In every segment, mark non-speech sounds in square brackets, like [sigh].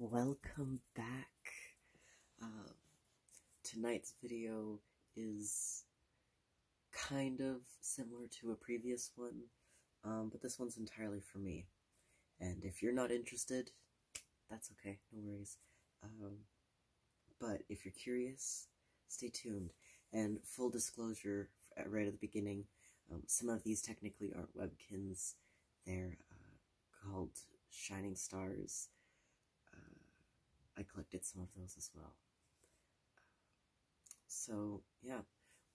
Welcome back. Uh, tonight's video is kind of similar to a previous one, um, but this one's entirely for me. And if you're not interested, that's okay, no worries. Um, but if you're curious, stay tuned. And full disclosure, right at the beginning, um, some of these technically aren't webkins, they're uh, called Shining Stars. Uh, I collected some of those as well. So, yeah,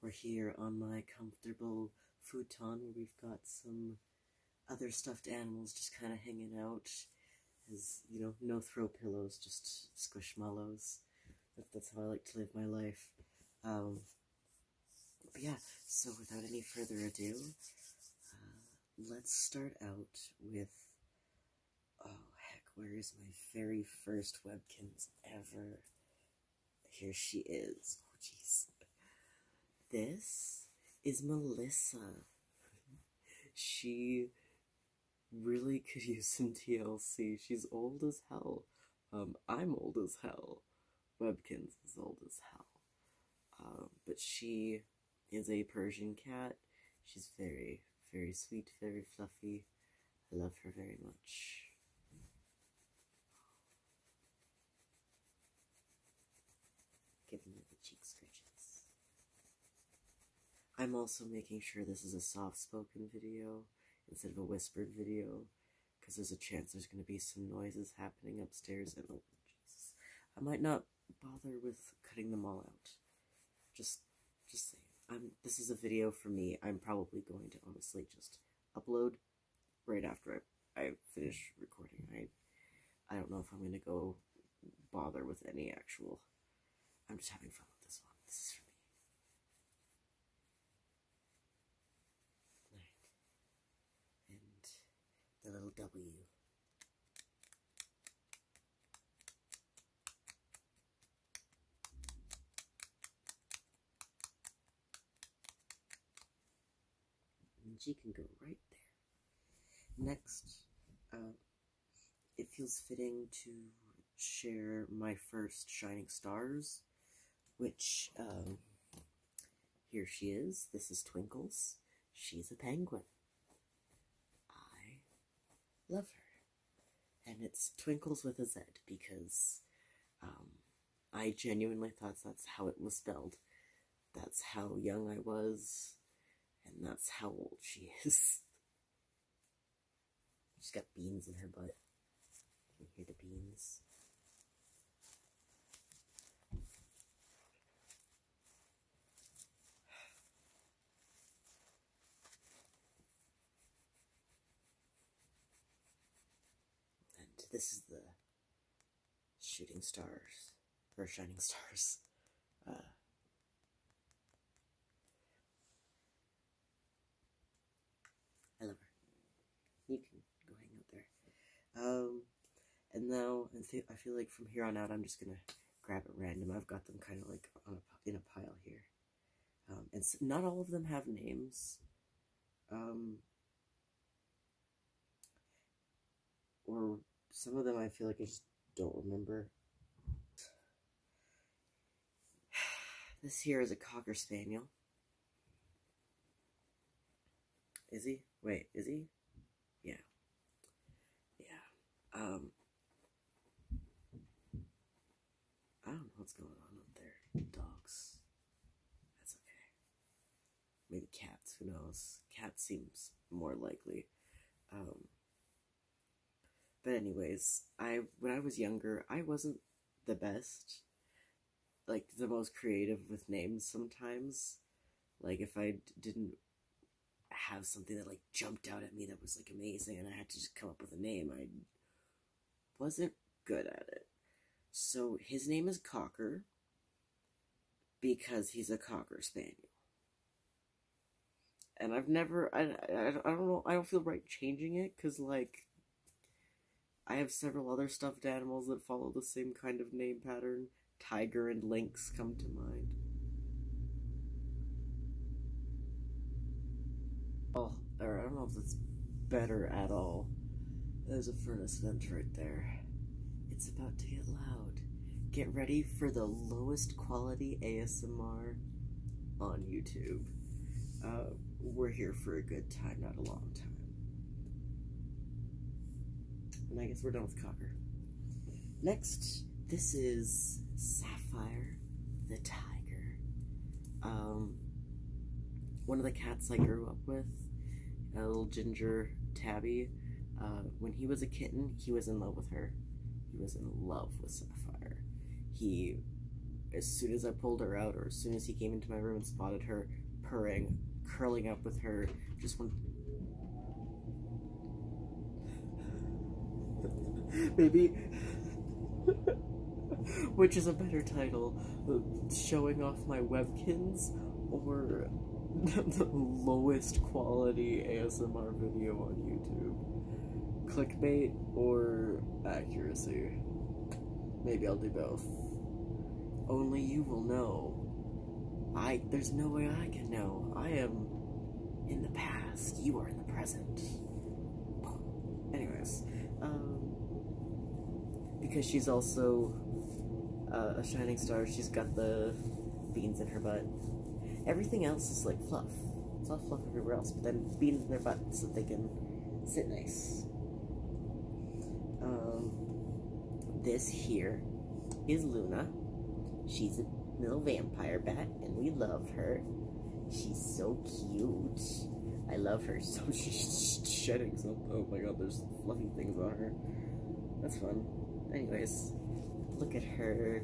we're here on my comfortable futon where we've got some other stuffed animals just kind of hanging out as, you know, no throw pillows, just squishmallows. That, that's how I like to live my life. Um, yeah, so without any further ado, uh, let's start out with. Oh heck, where is my very first Webkins ever? Here she is. Oh This is Melissa. she really could use some TLC. She's old as hell. Um, I'm old as hell. Webkins is old as hell. Um, but she is a Persian cat. She's very, very sweet, very fluffy. I love her very much. Give me the cheek scratches. I'm also making sure this is a soft-spoken video instead of a whispered video because there's a chance there's going to be some noises happening upstairs in and I might not bother with cutting them all out. Just, just say, I'm, this is a video for me. I'm probably going to honestly just upload right after I, I finish recording. I, I don't know if I'm going to go bother with any actual. I'm just having fun with this one. This is for me and the little W. And G can go right there. Next, uh, it feels fitting to share my first Shining Stars, which um, here she is. This is Twinkles. She's a penguin. I love her. And it's Twinkles with a Z because um, I genuinely thought that's how it was spelled. That's how young I was, and that's how old she [laughs] is. She's got beans in her butt. Can hear the beans? And this is the shooting stars, or shining stars. Uh, I love her. You can go hang out there. Um, and now I, feel like from here on out, I'm just going to grab at random. I've got them kind of like in a pile here. Um, and not all of them have names. Um, or some of them I feel like I just don't remember. [sighs] This here is a Cocker Spaniel. Is he? Wait, is he? yeah, yeah. Um, I don't know what's going on up there. Dogs. That's okay. Maybe cats. Who knows? Cat seems more likely. Um, but anyways, I when I was younger, I wasn't the best like the most creative with names sometimes. Like if I didn't have something that like jumped out at me that was like amazing and I had to just come up with a name, I wasn't good at it. So his name is Cocker because he's a Cocker Spaniel. And I've never, I, I, I don't know, I don't feel right changing it because like I have several other stuffed animals that follow the same kind of name pattern tiger and lynx come to mind. Oh, I don't know if that's better at all. There's a furnace vent right there. It's about to get loud. Get ready for the lowest quality ASMR on YouTube. Uh, we're here for a good time, not a long time. And I guess we're done with Cocker. Next, this is Sapphire the Tiger. Um, one of the cats I grew up with, a little ginger tabby. Uh, when he was a kitten, he was in love with her. He was in love with Sapphire. He, as soon as I pulled her out, or as soon as he came into my room and spotted her purring, curling up with her, just went. Maybe. Which is a better title? Showing off my webkins or the lowest quality ASMR video on YouTube? Clickbait or accuracy? Maybe I'll do both. Only you will know. I there's no way I can know. I am in the past. You are in the present. [sighs] Anyways, um, because she's also uh, a shining star, she's got the beans in her butt. Everything else is like fluff. It's all fluff everywhere else, but then beans in their butt so they can sit nice. Um, this here is Luna. She's a little vampire bat, and we love her. She's so cute. I love her so [laughs] she's shedding something. Oh my god, there's fluffy things on her. That's fun. Anyways, look at her.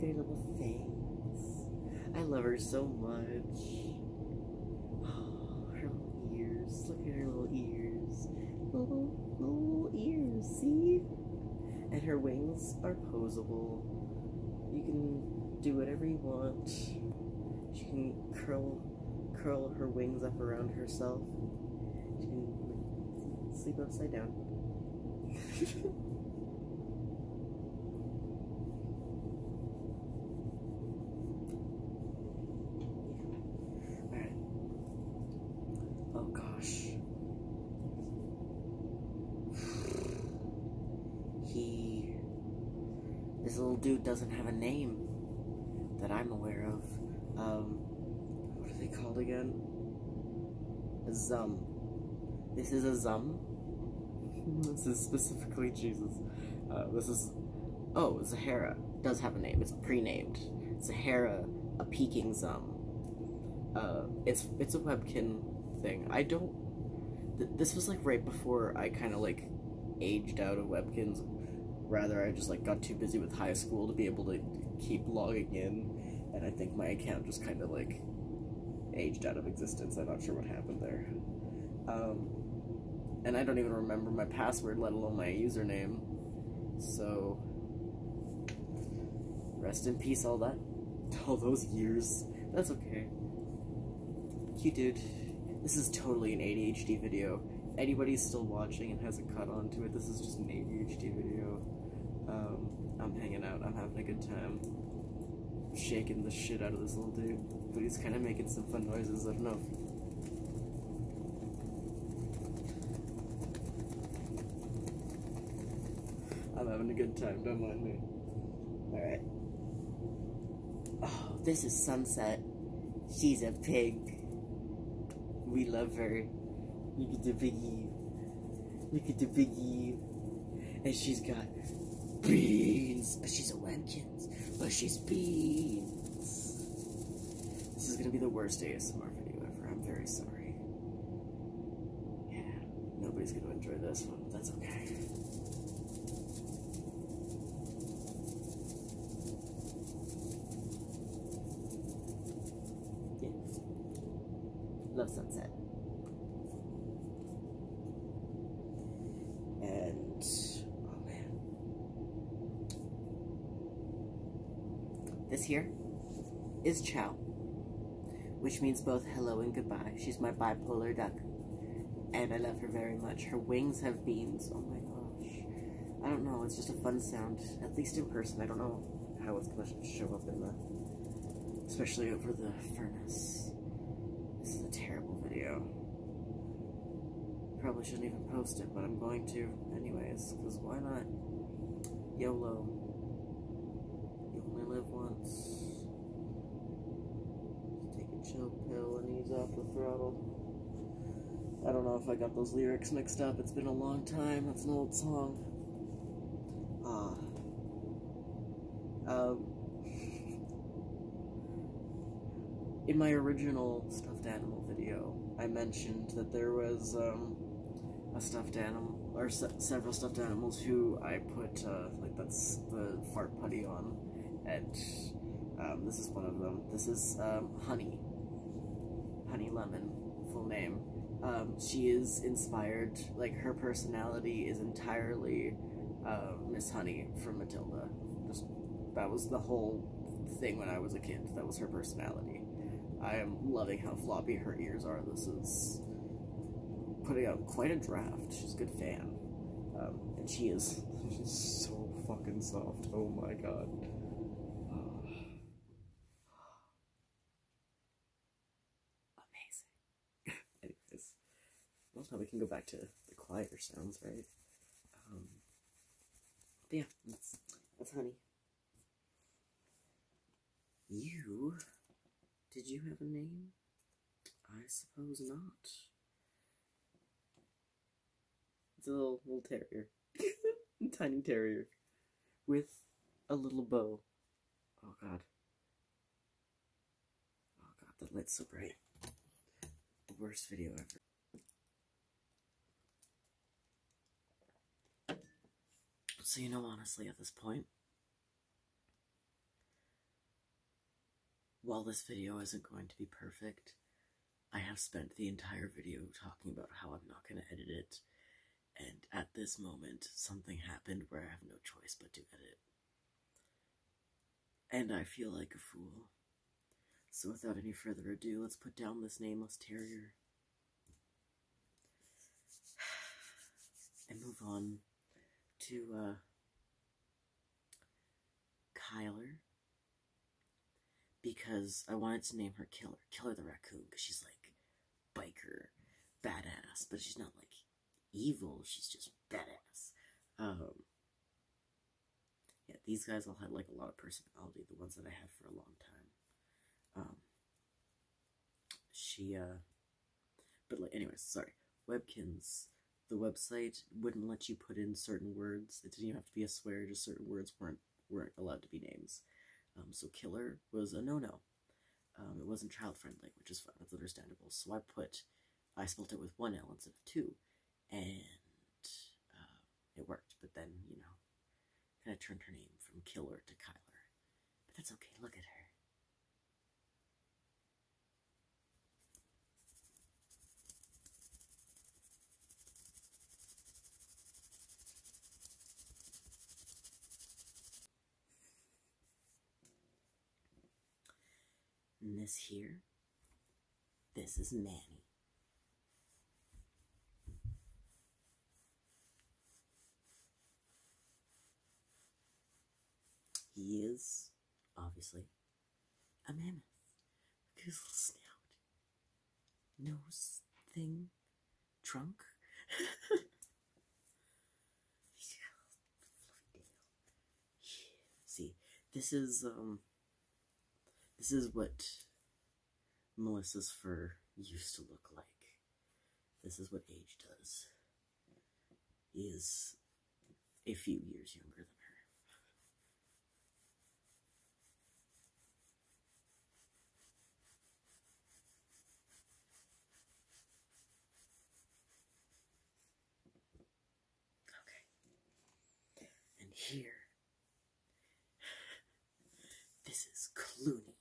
Their little things. I love her so much. [gasps] ears. Look at her little ears. Little, little ears, see? And her wings are posable. You can do whatever you want. She can curl curl her wings up around herself. She can sleep upside down. [laughs] [laughs] Oh gosh. [sighs] He. This little dude doesn't have a name that I'm aware of. Um, what are they called again? A zum. This is a zum. [laughs] this is specifically Jesus. Uh, this is. Oh, Zahara does have a name. It's pre-named. Sahara a peaking zum. Uh, it's it's a webkin thing. I don't. this was like right before I kind of like aged out of webkins. Rather, I just like got too busy with high school to be able to keep logging in, and I think my account just kind of like aged out of existence. I'm not sure what happened there. Um, and I don't even remember my password, let alone my username. So Rest in peace, all that. [laughs] All those years. That's okay. Cute dude. This is totally an ADHD video. anybody's still watching and hasn't caught on to it, this is just an ADHD video. Um, I'm hanging out, I'm having a good time. Shaking the shit out of this little dude. But he's kind of making some fun noises, I don't know I'm having a good time, don't mind me. Alright. Oh, this is Sunset. She's a pig. We love her. Look at the biggie. Look at the biggie. And she's got beans. But she's a Wampkins. But she's beans. This is gonna be the worst ASMR video ever. I'm very sorry. Yeah, nobody's gonna enjoy this one, but that's okay. Love sunset. And oh man, this here is chow, which means both hello and goodbye. She's my bipolar duck, and I love her very much. Her wings have beans. Oh my gosh. I don't know, it's just a fun sound, at least in person. I don't know how it's going to show up in the, especially over the furnace. This is a terrible video. Probably shouldn't even post it, but I'm going to anyways because why not? YOLO. You only live once. take a chill pill and ease off the throttle. I don't know if I got those lyrics mixed up. It's been a long time. That's an old song. Ah. um, [laughs] in my original stuffed animal video, I mentioned that there was, um, a stuffed animal, or several stuffed animals who I put, uh, like, that's the fart putty on, and um, this is one of them. This is um, Honey, Honey Lemon, full name. Um, she is inspired, like, her personality is entirely uh, Miss Honey from Matilda. that was the whole thing when I was a kid. That was her personality. I am loving how floppy her ears are. This is putting out quite a draft. She's a good fan. Um, and she is. [laughs] She's so fucking soft. Oh my god. [sighs] Amazing. [sighs] Anyways. Well, we can go back to the quieter sounds, right? Um, yeah, that's honey. You? Did you have a name? I suppose not. It's a little, little terrier. [laughs] Tiny terrier. With a little bow. Oh god. Oh god, the light's so bright. The worst video ever. So you know honestly at this point, while this video isn't going to be perfect, I have spent the entire video talking about how I'm not going to edit it, and at this moment, something happened where I have no choice but to edit. And I feel like a fool. So without any further ado, let's put down this nameless terrier. [sighs] and move on to uh, Kyler because I wanted to name her Killer, Killer the Raccoon, because she's like biker, badass, but she's not like evil, she's just badass. Um, yeah, these guys all had like a lot of personality, the ones that I had for a long time. Um, she, uh, but like, anyways, sorry. Webkins, the website wouldn't let you put in certain words. It didn't even have to be a swear, just certain words weren't, weren't allowed to be names. Um, so killer was a no-no. Um, it wasn't child-friendly, which is fine, understandable. So I put, I spelled it with one L instead of two, and uh, it worked. But then, you know, then I turned her name from Killer to Kyler. But that's okay, look at her. And this here, this is Manny. He is, obviously, a mammoth with his little snout, nose thing, trunk. [laughs] See, this is um, this is what Melissa's fur used to look like. This is what age does. He is a few years younger than her. Okay. And here this is Clooney.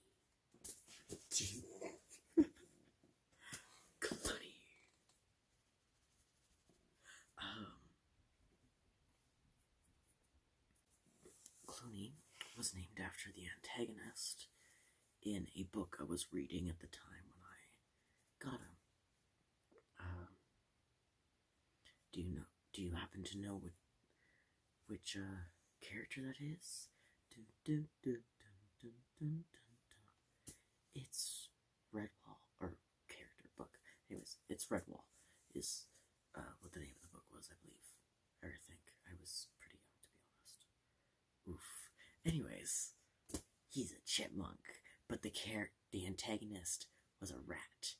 [laughs] Clooney. Um, Clooney was named after the antagonist in a book I was reading at the time when I got him. Um, do you know? Do you happen to know which, which uh, character that is? Dun, dun, dun, dun, dun, dun, dun. It's Redwall, or character book. Anyways, it's Redwall, is uh, what the name of the book was, I believe. I think. I was pretty young, to be honest. Oof. Anyways, he's a chipmunk, but the, char the antagonist was a rat.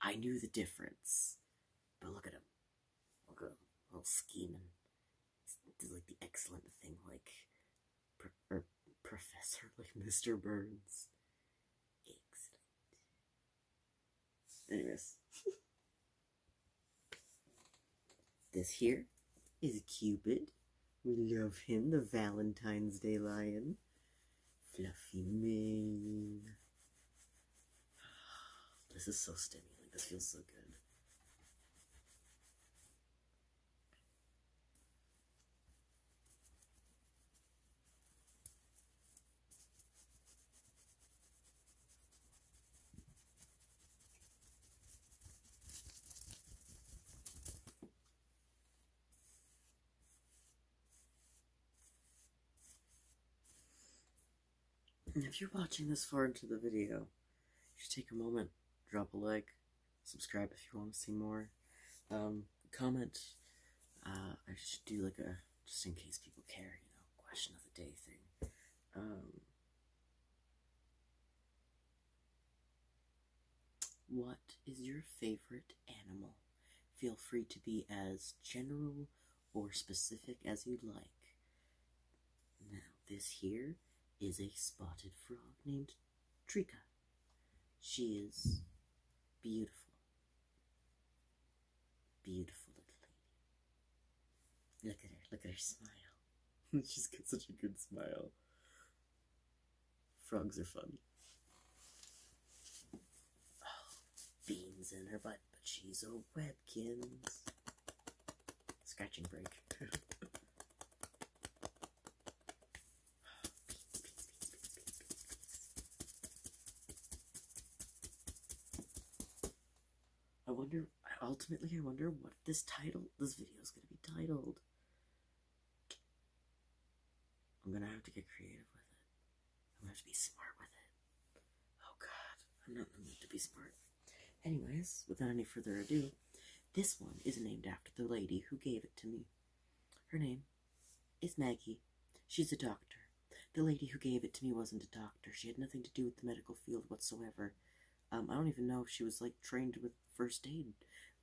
I knew the difference. But look at him. Look at him. Little scheming. Did like the excellent thing, like, er, Professor, [laughs] like Mr. Burns. Anyways, [laughs] this here is Cupid. We love him, the Valentine's Day lion. Fluffy mane. [sighs] This is so stimulating. This feels so good if you're watching this far into the video, you should take a moment, drop a like, subscribe if you want to see more, um, comment. Uh, I just do like a just in case people care, you know, question of the day thing. Um, what is your favorite animal? Feel free to be as general or specific as you like. Now, this here is a spotted frog named Trika. She is beautiful. Beautiful little lady. Look at her, look at her smile. [laughs] She's got such a good smile. Frogs are fun beans in her butt, but she's a Webkins. Scratching break. [laughs] I wonder, ultimately, I wonder what this title, this video is going to be titled. I'm gonna have to get creative with it. I'm gonna have to be smart with it. Oh god, I'm not going to be smart. Anyways, without any further ado, this one is named after the lady who gave it to me. Her name is Maggie. She's a doctor. The lady who gave it to me wasn't a doctor. She had nothing to do with the medical field whatsoever. Um, I don't even know if she was like trained with first aid.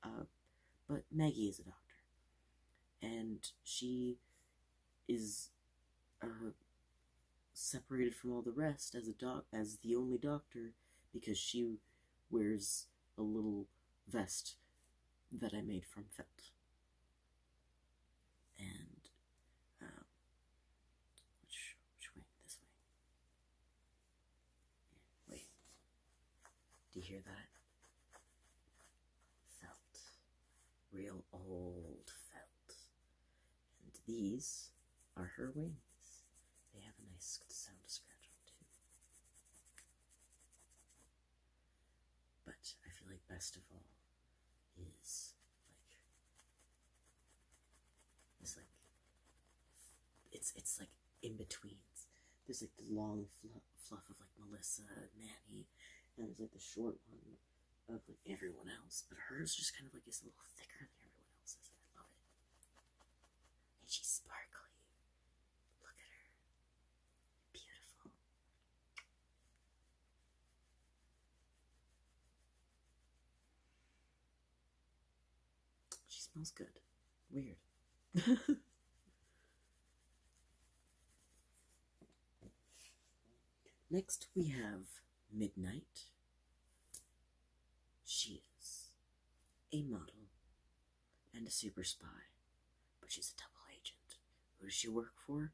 Uh, but Maggie is a doctor. And she is uh, separated from all the rest as a doc as the only doctor because she wears a little vest that I made from felt. And um, which way? This way. wait. Do you hear that? felt, real old felt. And these are her wings. They have a nice sound to scratch on too. But I feel like best of all is like it's like it's it's like in betweens. There's like the long fluff, of like Melissa, and Manny, and there's like the short one of like everyone else, but hers just kind of like is a little thicker than everyone else's, and I love it. And she's sparkly. Look at her. Beautiful. She smells good. Weird. [laughs] Next we have Midnight. She is a model and a super spy, but she's a double agent. Who does she work for?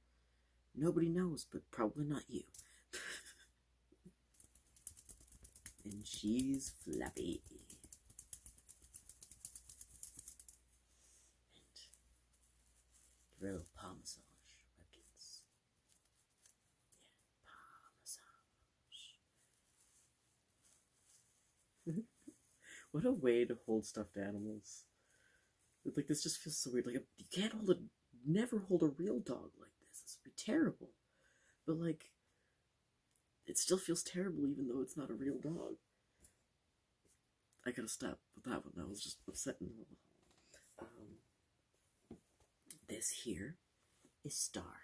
Nobody knows, but probably not you. [laughs] and she's flappy and real parmassage weapons. Yeah, parmassage. [laughs] what a way to hold stuffed animals. Like, this just feels so weird. Like, you can't hold a, never hold a real dog like this. This would be terrible. But, like, it still feels terrible even though it's not a real dog. I gotta stop with that one. That was just upsetting. Um, this here is Star.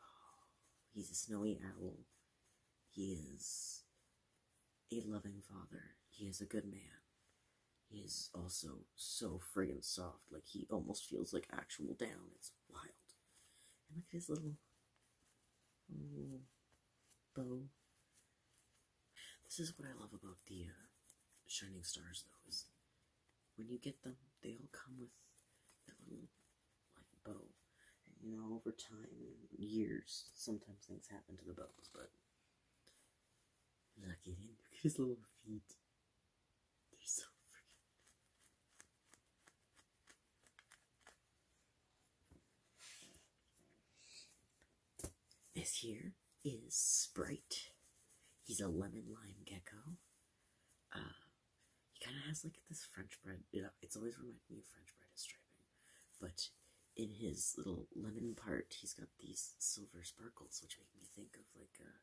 Oh, he's a snowy owl. He is a loving father. He is a good man. He is also so friggin' soft. Like, he almost feels like actual down. It's wild. And look at his little bow this is what I love about the uh, Shining Stars, though, is when you get them, they all come with a little like bow. you know, over time years, sometimes things happen to the bows, but [laughs] look at him. his little feet. They're so freaking. This here is Sprite. He's a lemon lime gecko. Uh, he kind of has like this French bread. it's always reminded me of French bread is striping. But in his little lemon part, he's got these silver sparkles, which make me think of like, uh,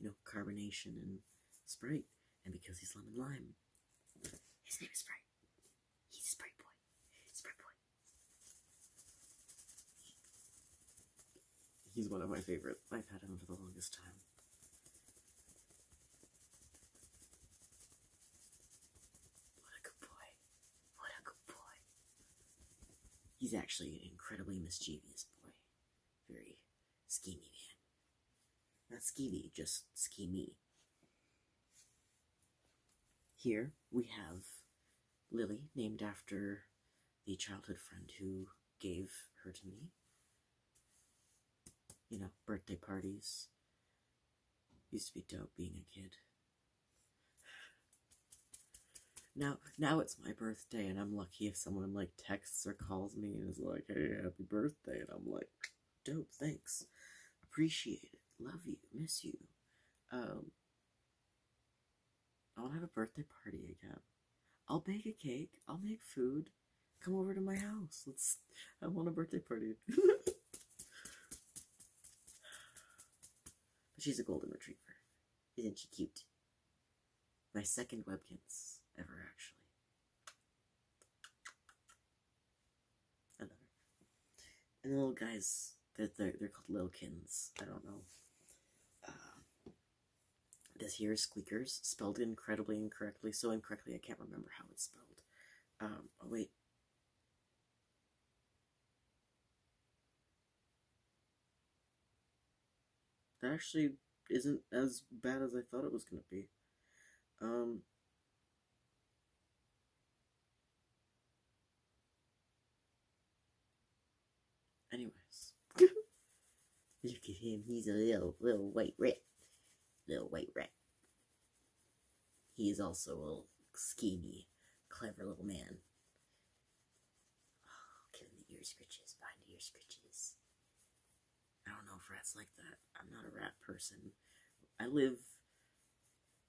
you know, carbonation and Sprite. And because he's lemon lime, his name is Sprite. He's spray boy. Spray boy. He's one of my favorites. I've had him for the longest time. What a good boy. What a good boy. He's actually an incredibly mischievous boy. Very schemy man. Not schemy, just schemy. Here we have Lily, named after the childhood friend who gave her to me. You know, birthday parties. Used to be dope being a kid. Now, now it's my birthday, and I'm lucky if someone like texts or calls me and is like, "Hey, happy birthday," and I'm like, "Dope, thanks, appreciate it." Love you, miss you. Um, I'll have a birthday party again. I'll bake a cake. I'll make food. Come over to my house. Let's. I want a birthday party. [laughs] she's a golden retriever. Isn't she cute? My second Webkins ever, actually another. And the little guys, they're, they're, they're called Lilkins. I don't know. this uh, here is Squeakers, spelled incredibly incorrectly. So incorrectly, I can't remember how it's spelled. Um, oh wait. That actually isn't as bad as I thought it was going to be. Um, Anyways, look [laughs] at him. He's a little, little white rat. Little white rat. He is also a little schemy, clever little man. Oh, give the ear scritches, behind the ear scritches. I don't know if rats like that. I'm not a rat person. I live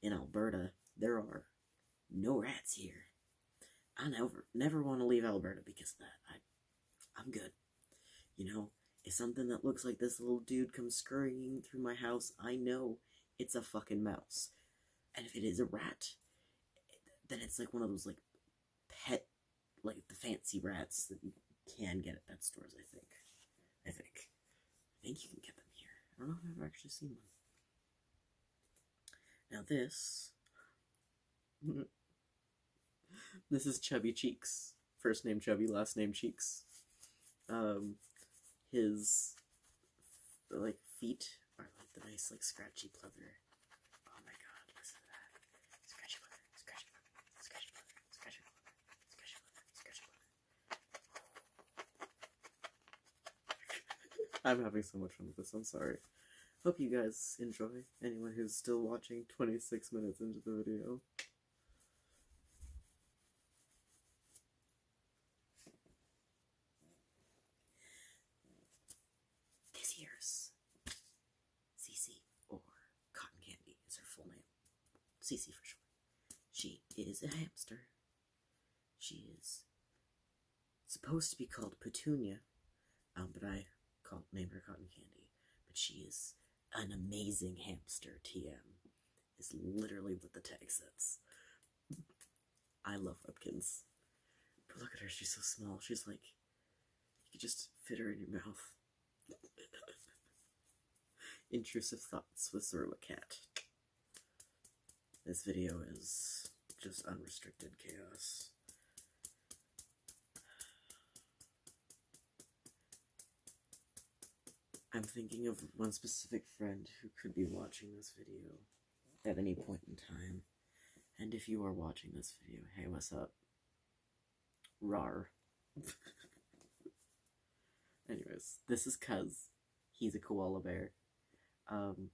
in Alberta. There are no rats here. I never never want to leave Alberta because I, I'm good. You know, if something that looks like this little dude comes scurrying through my house, I know it's a fucking mouse. And if it is a rat, then it's like one of those like pet like the fancy rats that you can get at pet stores, I think. I think. I think you can get them here. I don't know if I've actually seen one. Now this, [laughs] this is Chubby Cheeks. First name Chubby, last name Cheeks. Um, his like feet are like the nice like scratchy pleather. Oh my god, listen to that! Scratchy pleather, scratchy pleather, scratchy pleather, scratchy pleather, scratchy pleather, scratchy pleather. [laughs] I'm having so much fun with this, I'm sorry. Hope you guys enjoy, anyone who's still watching 26 minutes into the video. This year's Cece, or Cotton Candy is her full name. CC for short. She is a hamster she is supposed to be called Petunia, um, but I called named her Cotton Candy. But she is an amazing hamster. TM is literally what the tag says. I love Upkins, but look at her. She's so small. She's like you could just fit her in your mouth. [laughs] Intrusive thoughts with Zorla Cat. This video is just unrestricted chaos. I'm thinking of one specific friend who could be watching this video at any point in time. And if you are watching this video, hey, what's up? Rar. [laughs] Anyways, this is Cuz he's a koala bear. Um,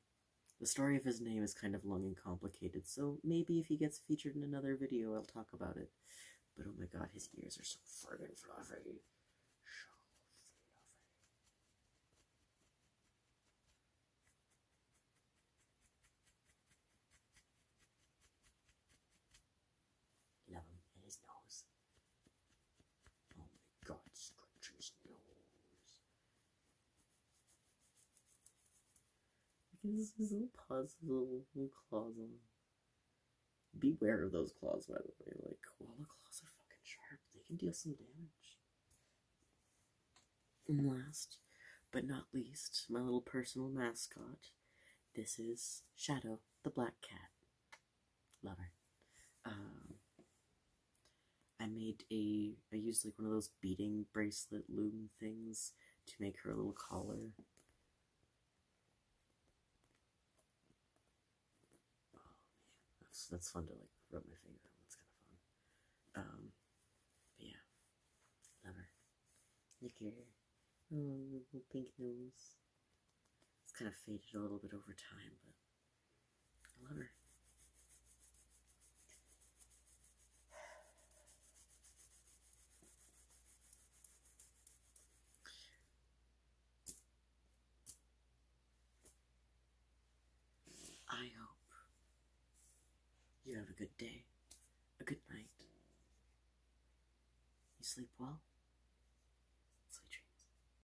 the story of his name is kind of long and complicated, so maybe if he gets featured in another video, I'll talk about it. But oh my god, his ears are so friggin' fluffy. fluffy. Love him and his nose. Oh my god, Scratcher's nose. This is a puzzle claws on. Beware of those claws, by the way. Like, koala claws are fucking sharp. They can deal some damage. And last, but not least, my little personal mascot. This is Shadow, the black cat. Love her. Um, I made a, I used like one of those beading bracelet loom things to make her a little collar. Oh, that's, that's fun to like rub my finger on, that's kind of fun. Um, but yeah, love her. Look at her. little pink nose. It's kind of faded a little bit over time, but I love her. hope you have a good day, a good night. You sleep well. Sweet dreams.